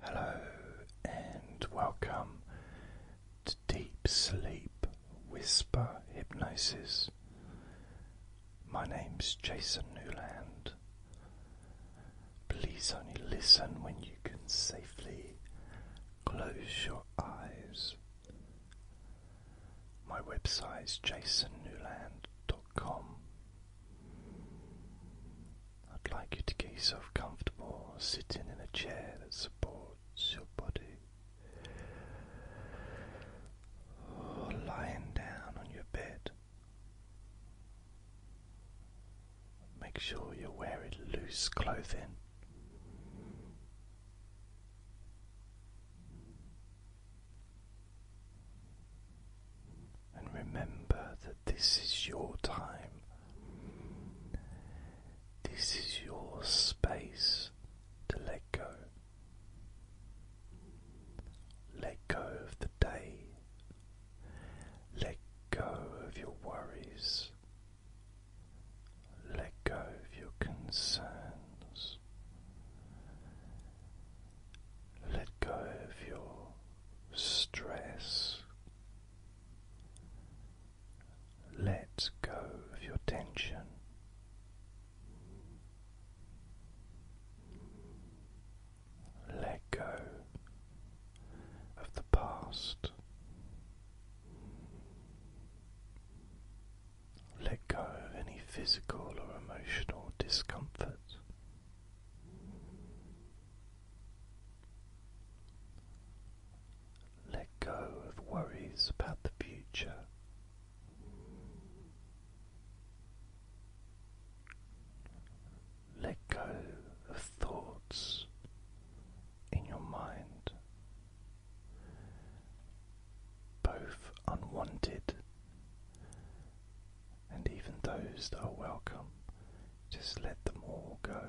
Hello and welcome to Deep Sleep Whisper Hypnosis. My name is Jason Newland. Please only listen when you can safely close your eyes. My website is jasonnewland.com. I'd like you to get yourself comfortable sitting in a chair that supports your body, or lying down on your bed. Make sure you're wearing loose clothing and remember that this is your time, this is your space to let go. Let go of the day, let go of your worries, let go of your concerns, let go of your stress. Let go of your tension. Let go of the past. Let go of any physical or emotional discomfort. Let go of worries about the future. Let go of thoughts in your mind, both unwanted and even those that are welcome, just let them all go.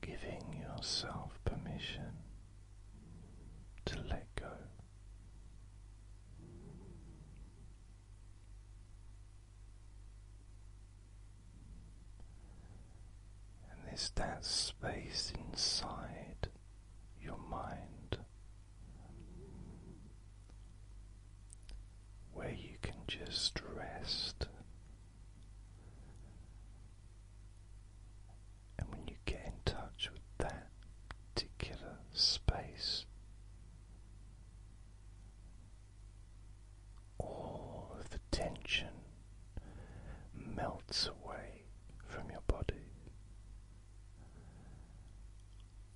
Giving yourself permission to let go and there's that space inside your mind where you can just rest. And when you get in touch with that particular space, all of the tension melts away from your body.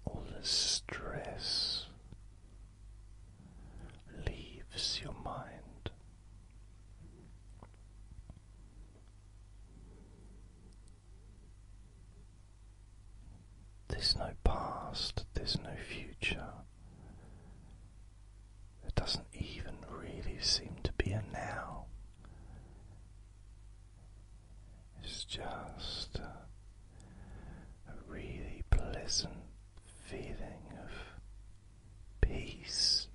All the stress leaves your mind. There's no past, there's no future, it doesn't even really seem to be a now. It's just a really pleasant feeling of peace.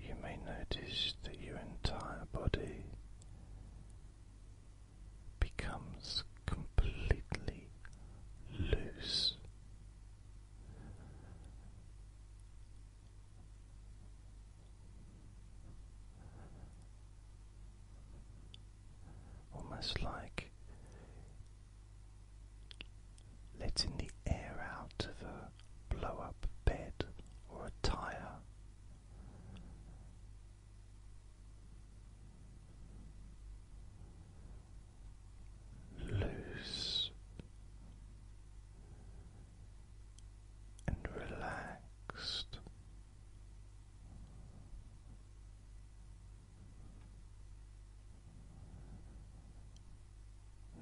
You may notice that your entire body becomes completely loose. Almost like letting the air out of a blow up bed or a tyre loose and relaxed.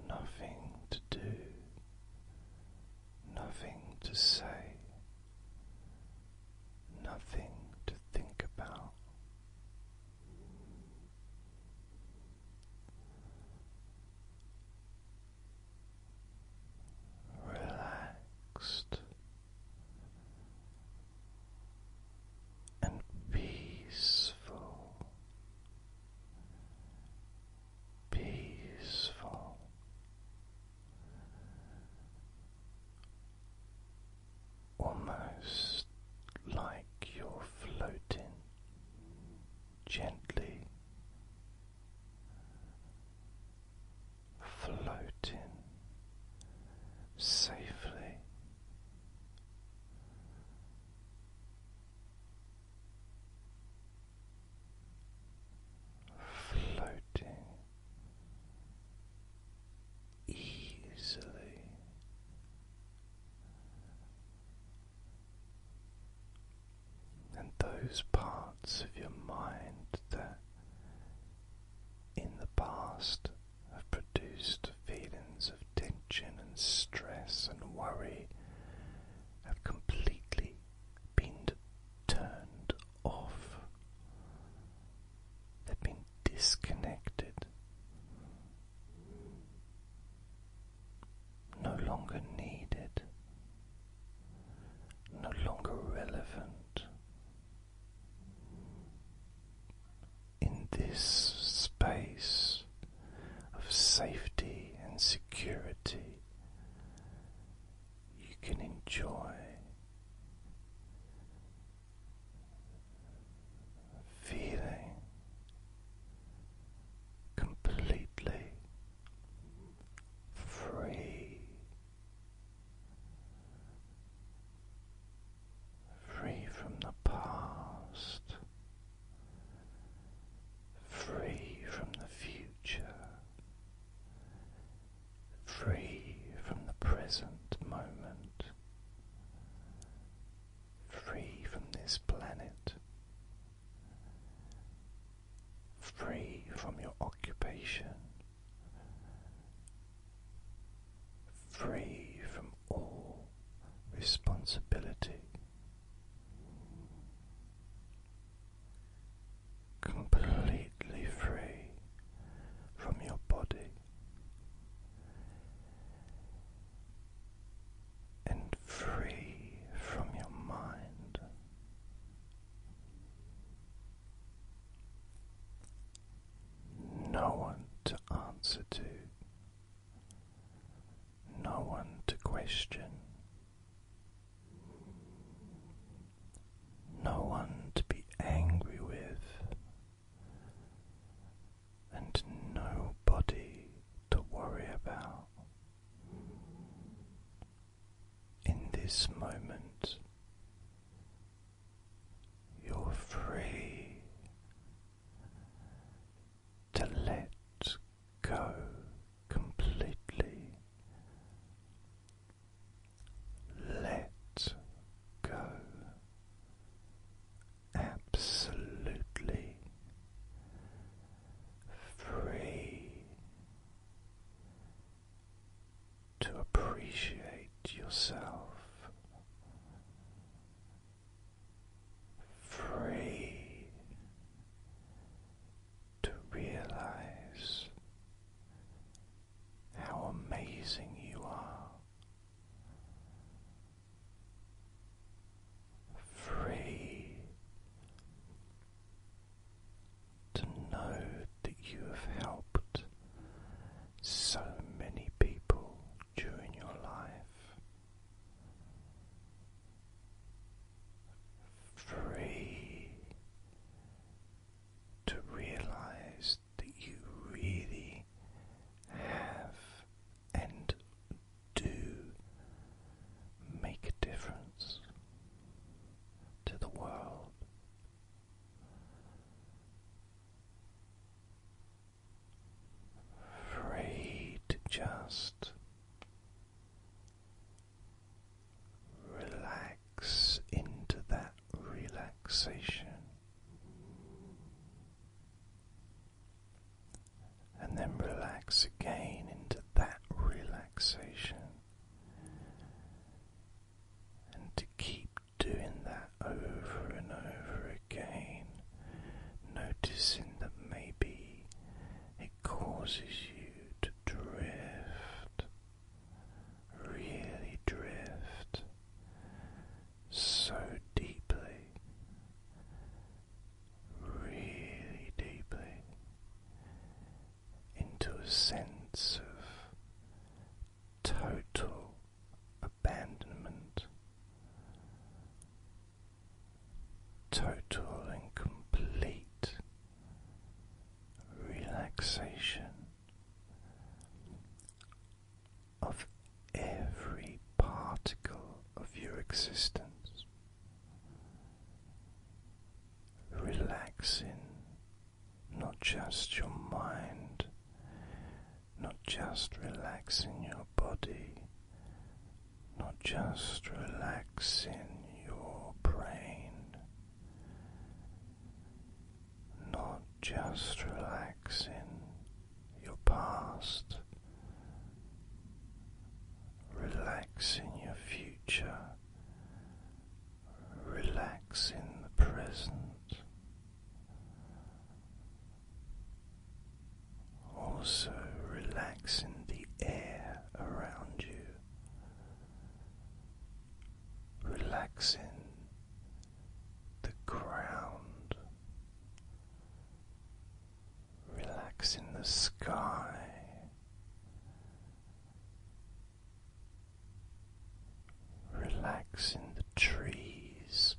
Nothing to do nothing to say, nothing to think about. Relaxed and peaceful peaceful. Almost like you're floating gently, floating safely floating easily and those parts of your mind that in the past have produced feelings of tension and stress and worry have completely been turned off, have been disconnected, no longer needed, no longer relevant. In this space of safety and security you can enjoy feeling completely free. Free from the past, free from the future, free from the present moment, free from this planet, free from your occupation. Free from all responsibility, completely free from your body and free from your mind. No one to answer to, no one to question, no one to be angry with, and nobody to worry about. In this moment, you're free to let go completely. Let go absolutely free to appreciate yourself. Free to realize how amazing you are. Free to know that you have helped so many people during your life, free to realize that you really have and do make a difference to the world. Free to just Relax into that relaxation. And then relax again into that relaxation. And to keep doing that over and over again, noticing that maybe causes you to drift, really drift so deeply, really deeply into a sense of total abandonment total and complete relaxation of every particle of your existence, relaxing not just your mind, not just relaxing your body, not just relaxing your brain, not just relaxing your past, relaxing your future, relaxing the present also relaxing the air around you, relaxing the ground, relaxing the sky. Relaxing the trees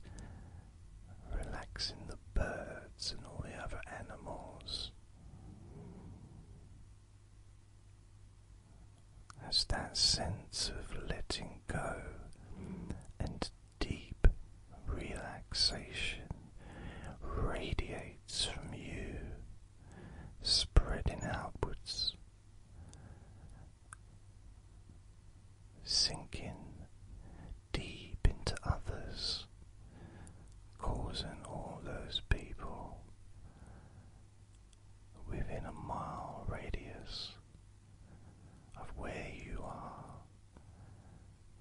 relaxing the birds and all the other animals. As that sense of letting go and deep relaxation radiates from you, spreading outwards, sinking deep into others, causing all those people within a mile radius of where you are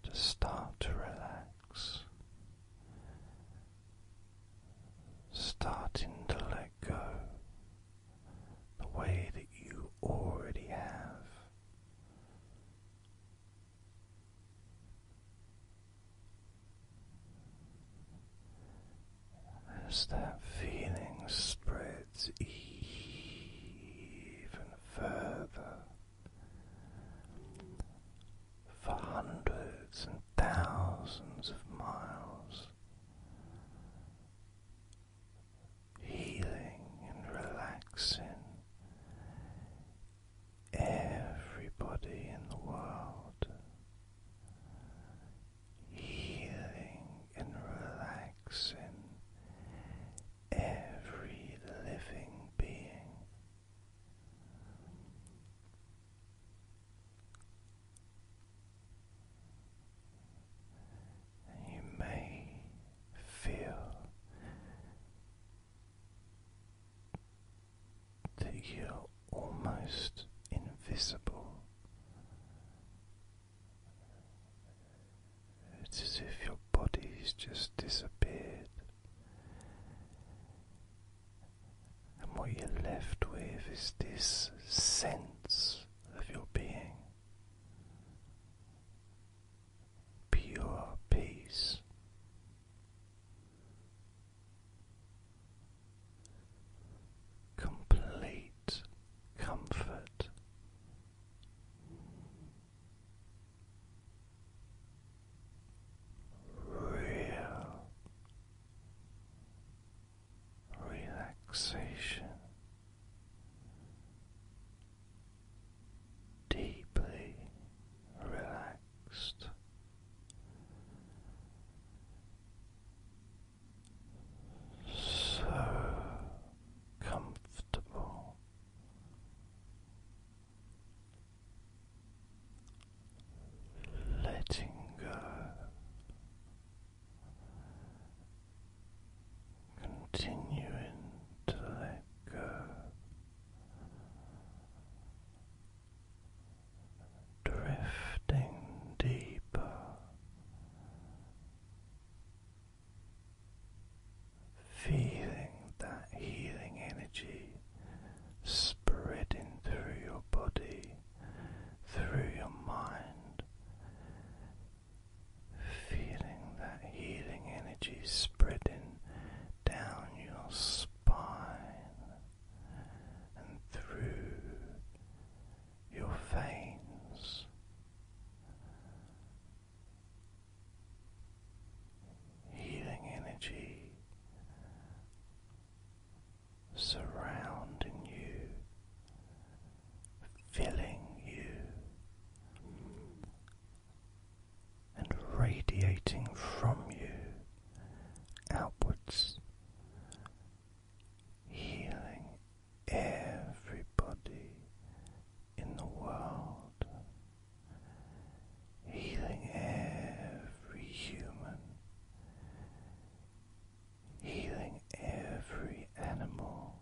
to start to relax, starting to let go the way that you already have. As that feeling spreads even further for hundreds and thousands of miles, healing and relaxing everybody in the world, healing and relaxing every living being. you may feel that you're almost invisible. It's as if your body's just disappeared, and what you're left with is this sense of your being pure peace. Complete comfort. Real relaxation deeply relaxed. So comfortable, letting go continuing to let go, drifting deeper. Feeling that healing energy spreading through your body, through your mind, Feeling that healing energy spreading down your spine and through your veins. Healing energy surrounding you filling you and radiating from you outwards, healing everybody in the world, healing every human. Healing every animal,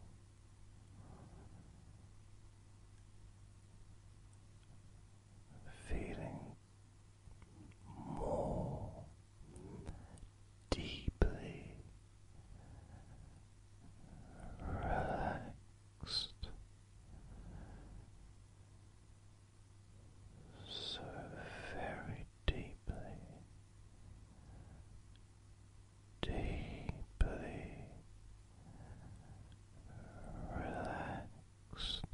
feeling more deeply relaxed. So very deeply deeply relaxed.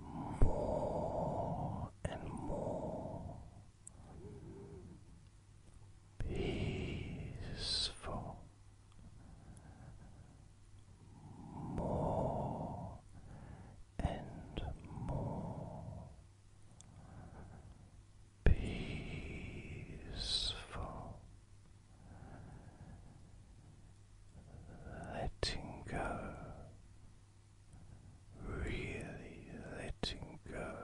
More and more peaceful, more and more peaceful, letting go, really letting go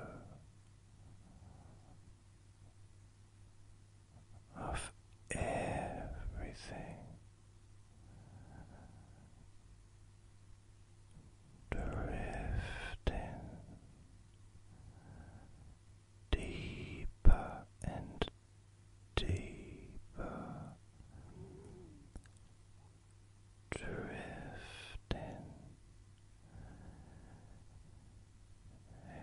of everything drifting deeper and deeper, drifting.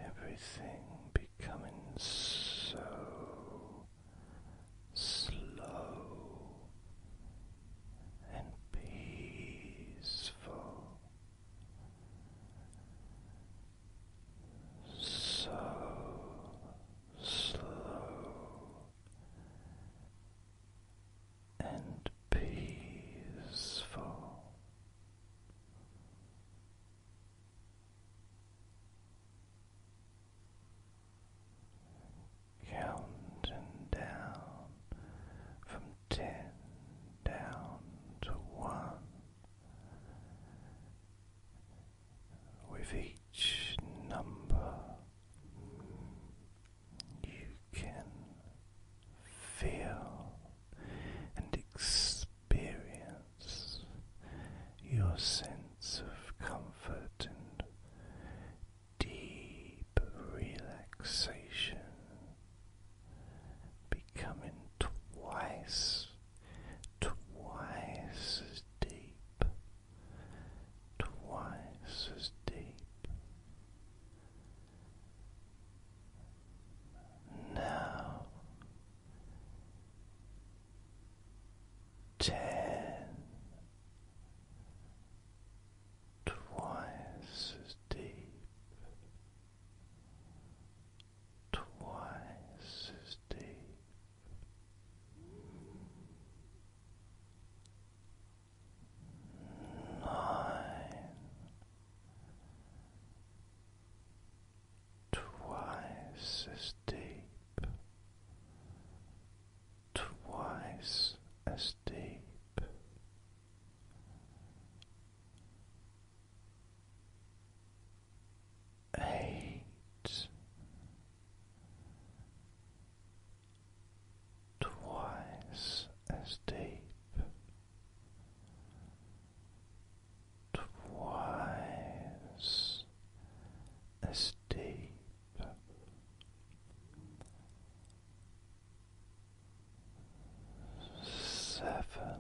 Everything becoming so slow and peaceful, so slow and peaceful counting down from ten down to one. With each number, you can feel and experience your sense of comfort and deep relaxation, becoming twice, twice as deep, twice as deep. Now ten twice as deep twice as deep nine twice as deep twice as deep. Eight twice as deep, twice as deep seven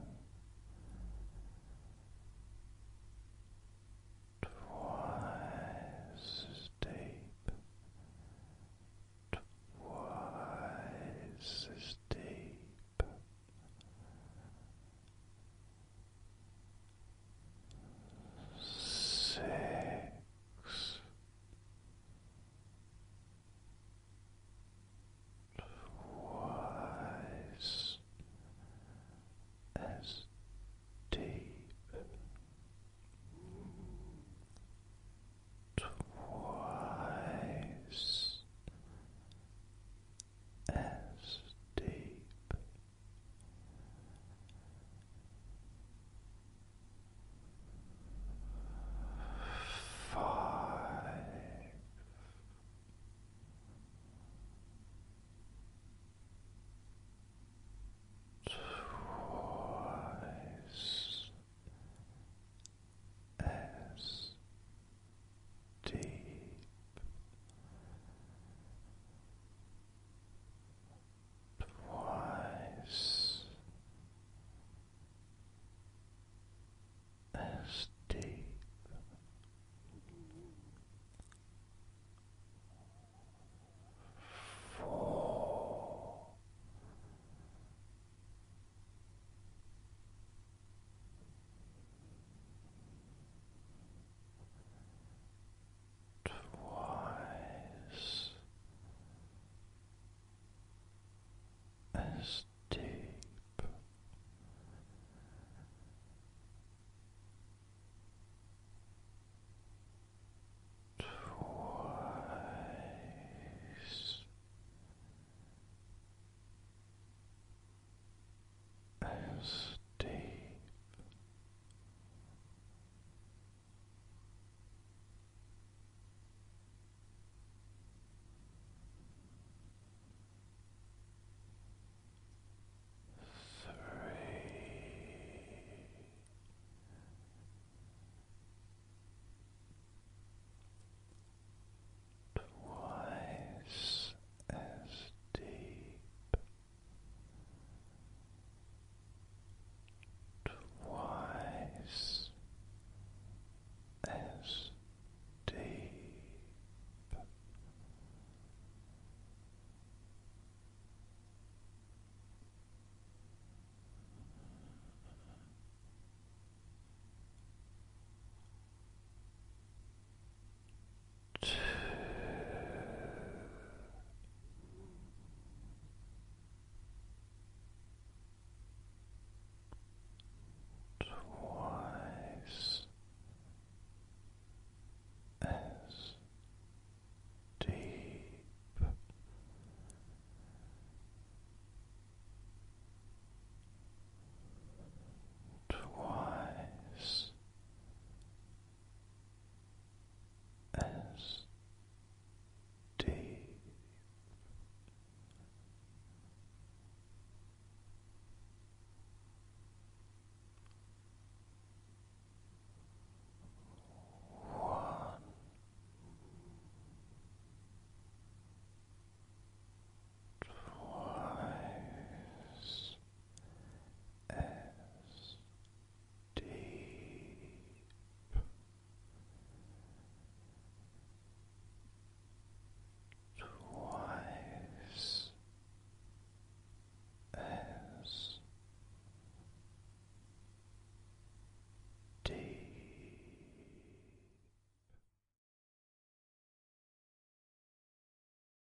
twice as deep twice as deep six. Twice as deep, twice as deep, Five. Twice as deep twice as Four twice as deep twice as deep three twice as deep twice as deep. Two. Twice as deep twice as one. Twice as deep twice as deep.